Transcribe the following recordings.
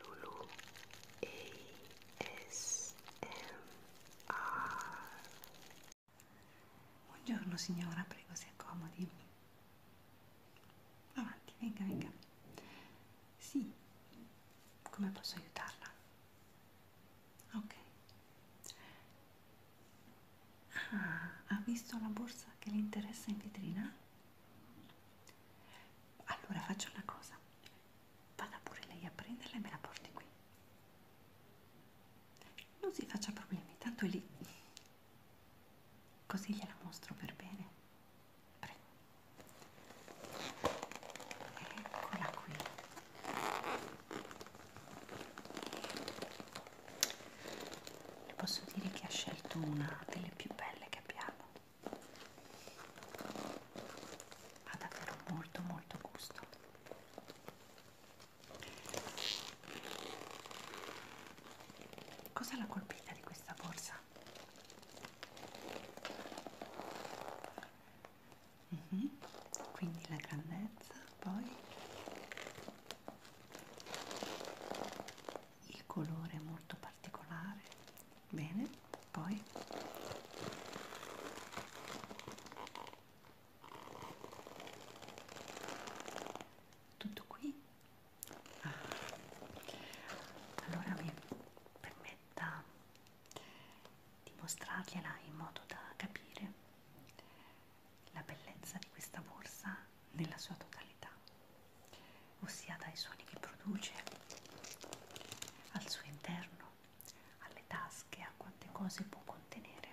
Lulu ASMR Buongiorno signora, prego si accomodi. Avanti, venga, venga. Sì, come posso aiutarla? Ok. Ah, ha visto la borsa che le interessa in vetrina? Allora faccio una cosa, vada pure lei a prenderla e me la porti qui. Non si faccia problemi, tanto è lì. Così gliela mostro per bene. Prego. Eccola qui. Posso dire che ha scelto una delle più belle che abbiamo ha davvero molto molto gusto cosa l'ha colpita di questa borsa? Mm -hmm. quindi la grandezza poi il colore è molto particolare bene poi tutto qui ah. allora mi permetta di mostrargliela in modo da capire la bellezza di questa borsa nella sua totalità sonorità, ossia dai suoni che produce al suo interno, alle tasche, a quante cose può contenere.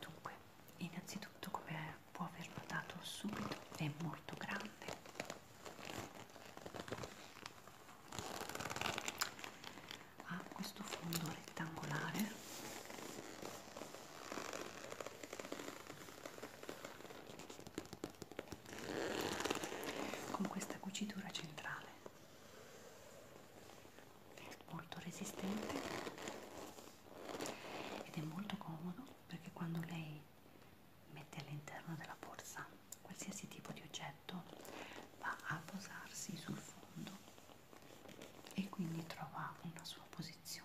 Dunque, innanzitutto come può aver notato subito è molto grande. Ha questo fondo rettangolare con questa cucitura centrale molto resistente ed è molto comodo perché quando lei mette all'interno della borsa qualsiasi tipo di oggetto va a posarsi sul fondo e quindi trova una sua posizione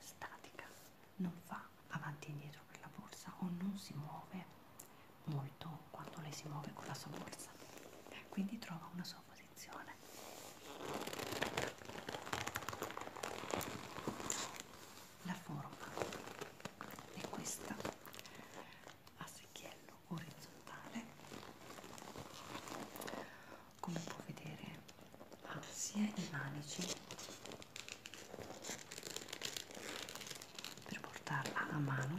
statica, non fa avanti e indietro per la borsa o non si muove molto quando lei si muove con la sua borsa, quindi trova una sua posizione. La forma è questa a secchiello orizzontale come può vedere ha sia i manici per portarla a mano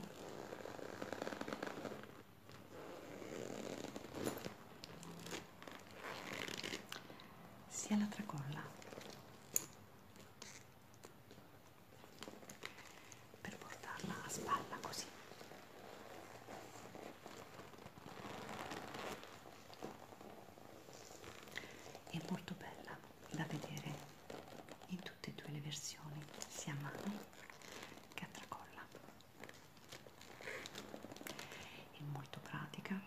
sia la tracolla per portarla a spalla così è molto bella da vedere in tutte e due le versioni sia a mano che a tracolla è molto pratica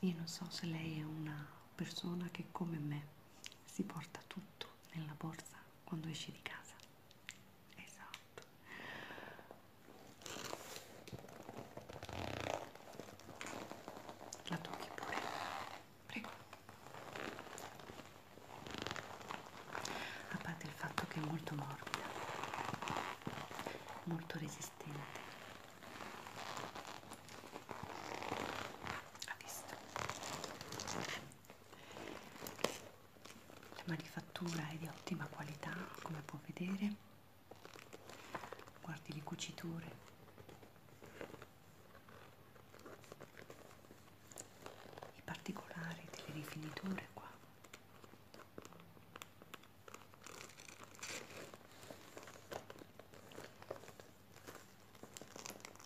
io non so se lei è una persona che come me si porta tutto nella borsa quando esce di casa esatto la tocchi pure prego a parte il fatto che è molto morbida molto resistente ha visto la manifattura è di ottima qualità come può vedere guardi le cuciture i particolari delle rifiniture qua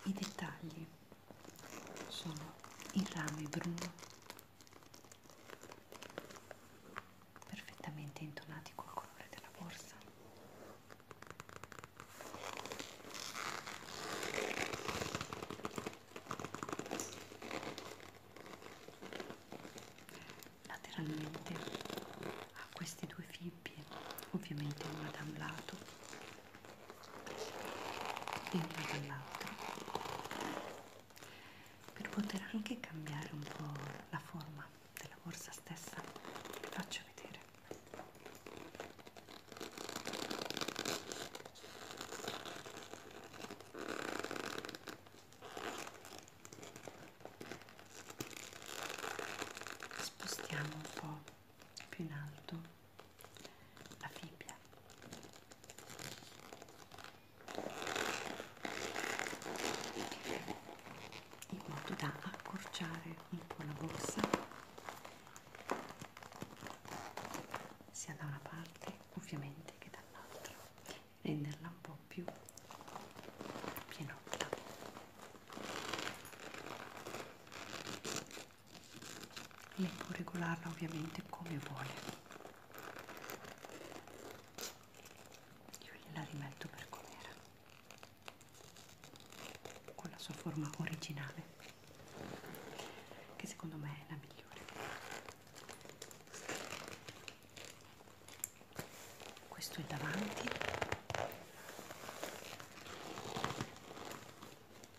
i dettagli sono in rame bruno perfettamente intonati col colore della borsa lateralmente a queste due fibbie ovviamente una da un lato in più dell'altro per poter anche cambiare un po' la forma della borsa stessa vi faccio vedere spostiamo un po' più in alto la fibbia in modo da accorciare un po' la borsa sia da una parte ovviamente che dall'altra renderla un po' più pienotta lei può regolarla ovviamente come vuole io gliela rimetto per com'era con la sua forma originale che secondo me è la migliore questo è davanti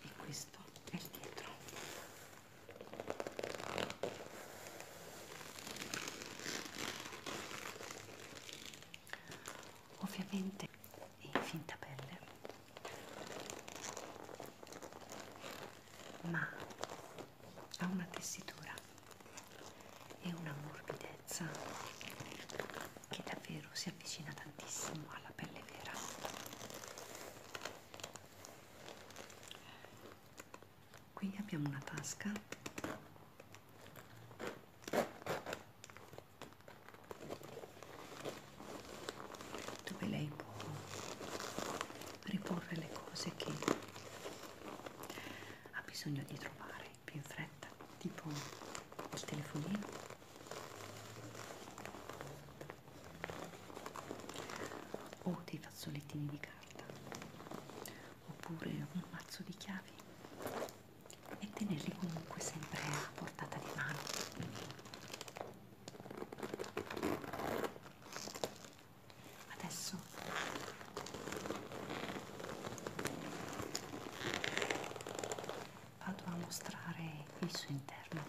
e questo è il dietro ovviamente in finta pelle ma ha una tessitura e una morbidezza che davvero si si avvicina tantissimo alla pelle vera qui abbiamo una tasca dove lei può riporre le cose che ha bisogno di trovare più in fretta tipo il telefonino o dei fazzolettini di carta oppure un mazzo di chiavi e tenerli comunque sempre a portata di mano adesso vado a mostrare il suo interno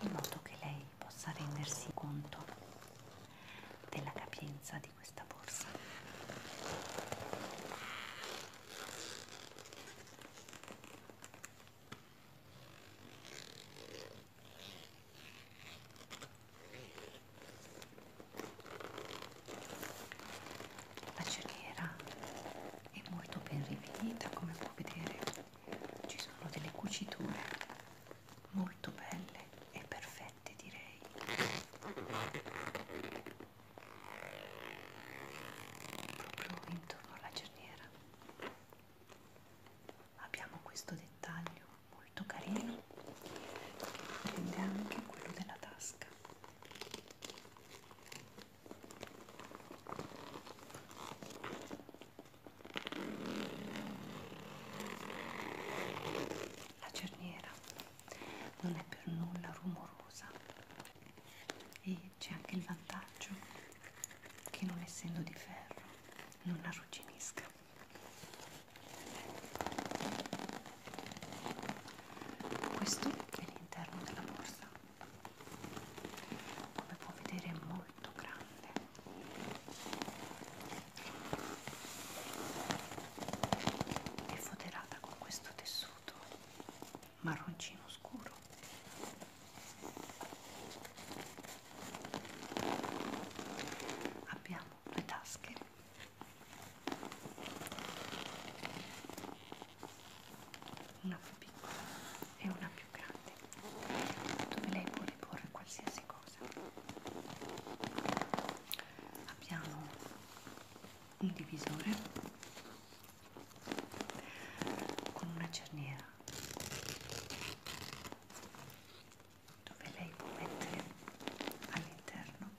in modo che lei possa rendersi conto della capienza di questa borsa la celiera è molto ben rifinita come puoi vedere, ci sono delle cuciture molto belle e perfette direi. Proprio intorno alla cerniera abbiamo questo dettaglio molto carino che prende anche quello della tasca la cerniera non è per nulla rumorosa e c'è anche il vantaggio che non essendo di ferro non arrugginisca questo è l'interno della borsa, come può vedere è molto grande. È foderata con questo tessuto marroncino scuro. Abbiamo due tasche una più piccola e una più grande dove lei può riporre qualsiasi cosa abbiamo un divisore con una cerniera dove lei può mettere all'interno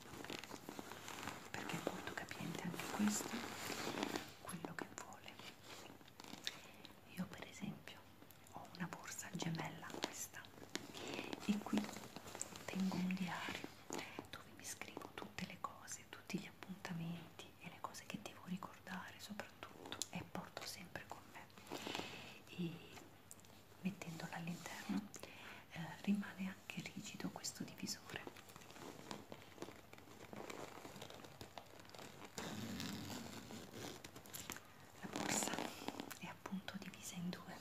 perché è molto capiente anche questo quello che vuole io per esempio ho una borsa gemella questa e qui tengo un diario dove mi scrivo tutte le cose tutti gli appuntamenti e le cose che devo ricordare soprattutto e porto sempre con me e mettendola all'interno eh, rimane anche rigido questo divisore la borsa è appunto divisa in due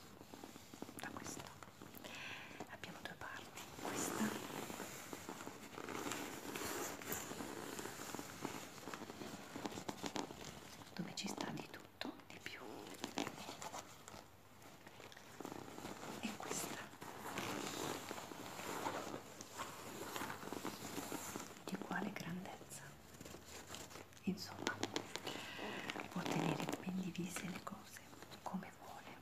da questo abbiamo due parti questa dove ci sta di tutto molto di più e questa di quale grandezza insomma può tenere ben divise le cose come vuole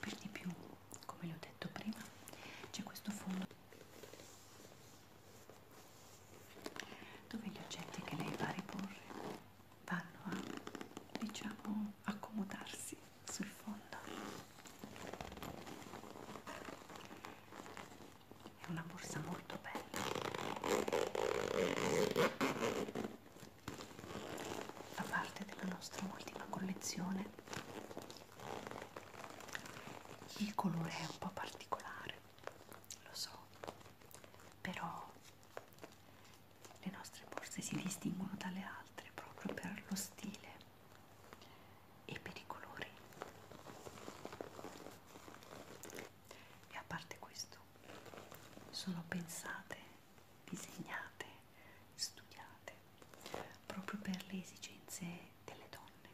per di più come vi ho detto prima c'è questo fondo dove gli oggetti che lei va a riporre vanno a diciamo accomodarsi sul fondo è una borsa molto bella fa parte della nostra ultima collezione il colore è un po' particolare, lo so, però le nostre borse si distinguono dalle altre proprio per lo stile e per i colori. E a parte questo, sono pensate, disegnate, studiate proprio per le esigenze delle donne.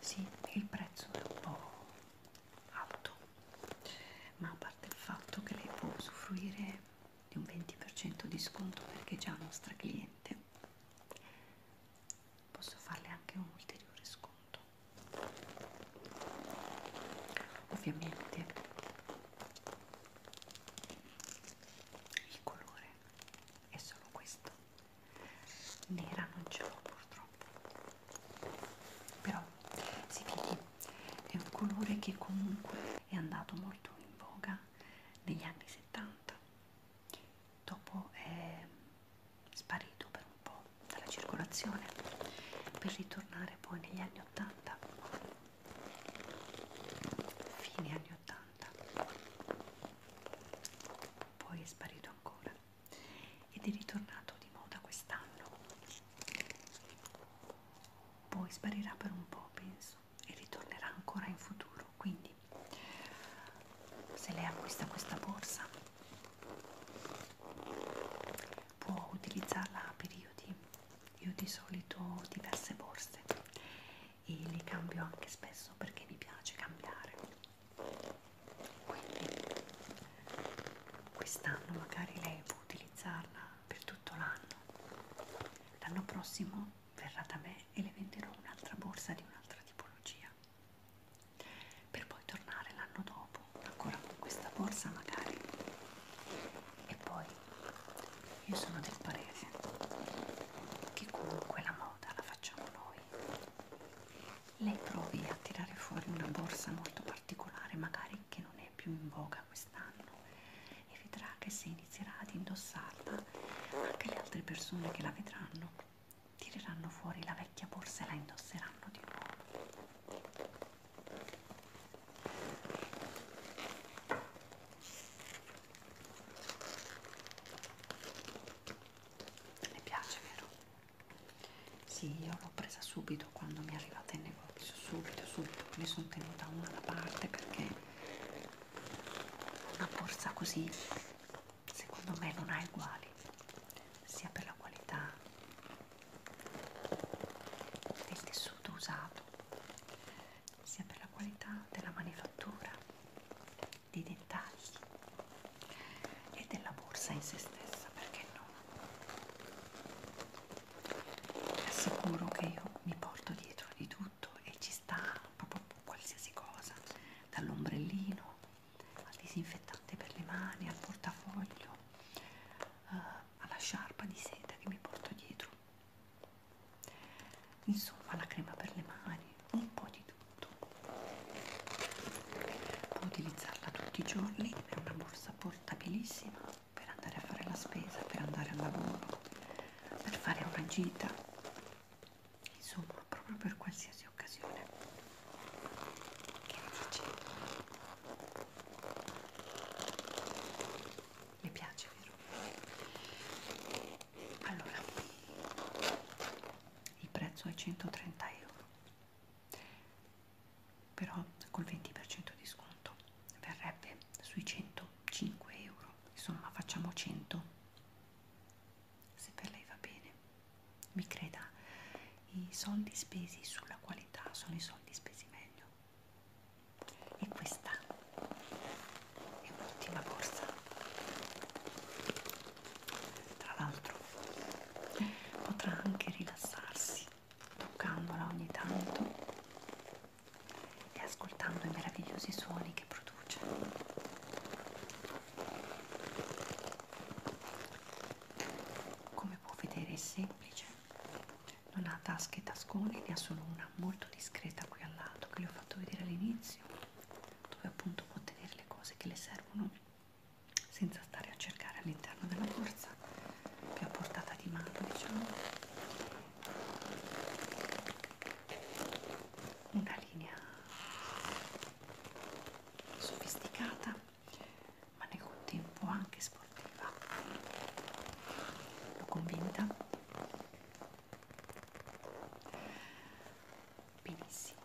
Sì, il prezzo è un po' alto, ma a parte il fatto che lei può usufruire di un 20% di sconto perché è già nostra cliente posso farle anche un ulteriore sconto ovviamente il colore è solo questo nera non ce l'ho purtroppo però si vede è un colore che comunque è andato molto in voga negli anni 70 dopo eh, sparito per un po' dalla circolazione per ritornare poi negli anni 80 fine anni 80 poi è sparito ancora ed è ritornato di moda quest'anno poi sparirà per un po' penso e ritornerà ancora in futuro quindi se lei acquista questa borsa può utilizzarla a periodi io di solito ho diverse borse e le cambio anche spesso perché mi piace cambiare quindi quest'anno magari lei può utilizzarla per tutto l'anno l'anno prossimo verrà da me e le venderò un'altra borsa di un'altra tipologia per poi tornare l'anno dopo ancora con questa borsa magari e poi io sono del parere che comunque la moda la facciamo noi lei provi a tirare fuori una borsa molto particolare magari che non è più in voga quest'anno e vedrà che se inizierà ad indossarla anche le altre persone che la vedranno tireranno fuori la vecchia borsa e la indosseranno di nuovo. Le piace, vero? Sì, io l'ho presa subito quando mi è arrivata in negozio, subito, subito, ne sono tenuta una da parte perché una borsa così secondo me non ha uguali sia per la qualità del tessuto usato sia per la qualità della manifattura dei dettagli e della borsa in se stessa perché no assicuro che io mi porto dietro di tutto e ci sta proprio qualsiasi cosa dall'ombrellino al disinfettante per le mani, al portafoglio, eh, alla sciarpa di seta che mi porto dietro. Insomma, la crema per le mani, un po' di tutto. Può utilizzarla tutti i giorni, è una borsa portabilissima per andare a fare la spesa, per andare al lavoro, per fare una gita insomma proprio per qualsiasi occasione che facendo mi piace vero allora il prezzo è 130 euro però col 20% di sconto verrebbe sui 105 euro insomma facciamo 100 se per lei va bene, mi creda, i soldi spesi sulla qualità sono i soldi spesi meglio. E questa è un'ottima borsa. Tra l'altro potrà anche rilassarsi toccandola ogni tanto e ascoltando i meravigliosi suoni che produce come può vedere è semplice non ha tasche e tasconi ne ha solo una molto discreta qui al lato che le ho fatto vedere all'inizio dove appunto può tenere le cose che le servono senza stare a cercare all'interno della borsa più a portata di mano diciamo una linea sofisticata ma nel contempo anche sportiva l'ho convinta benissimo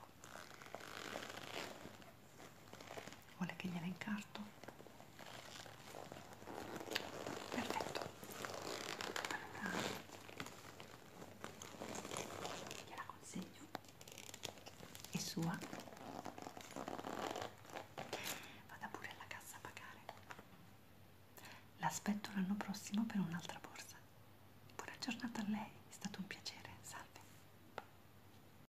vuole che gliela incarto? perfetto allora gliela consegno è sua vada pure alla cassa a pagare l'aspetto l'anno prossimo per un'altra borsa buona giornata a lei è stato un piacere salve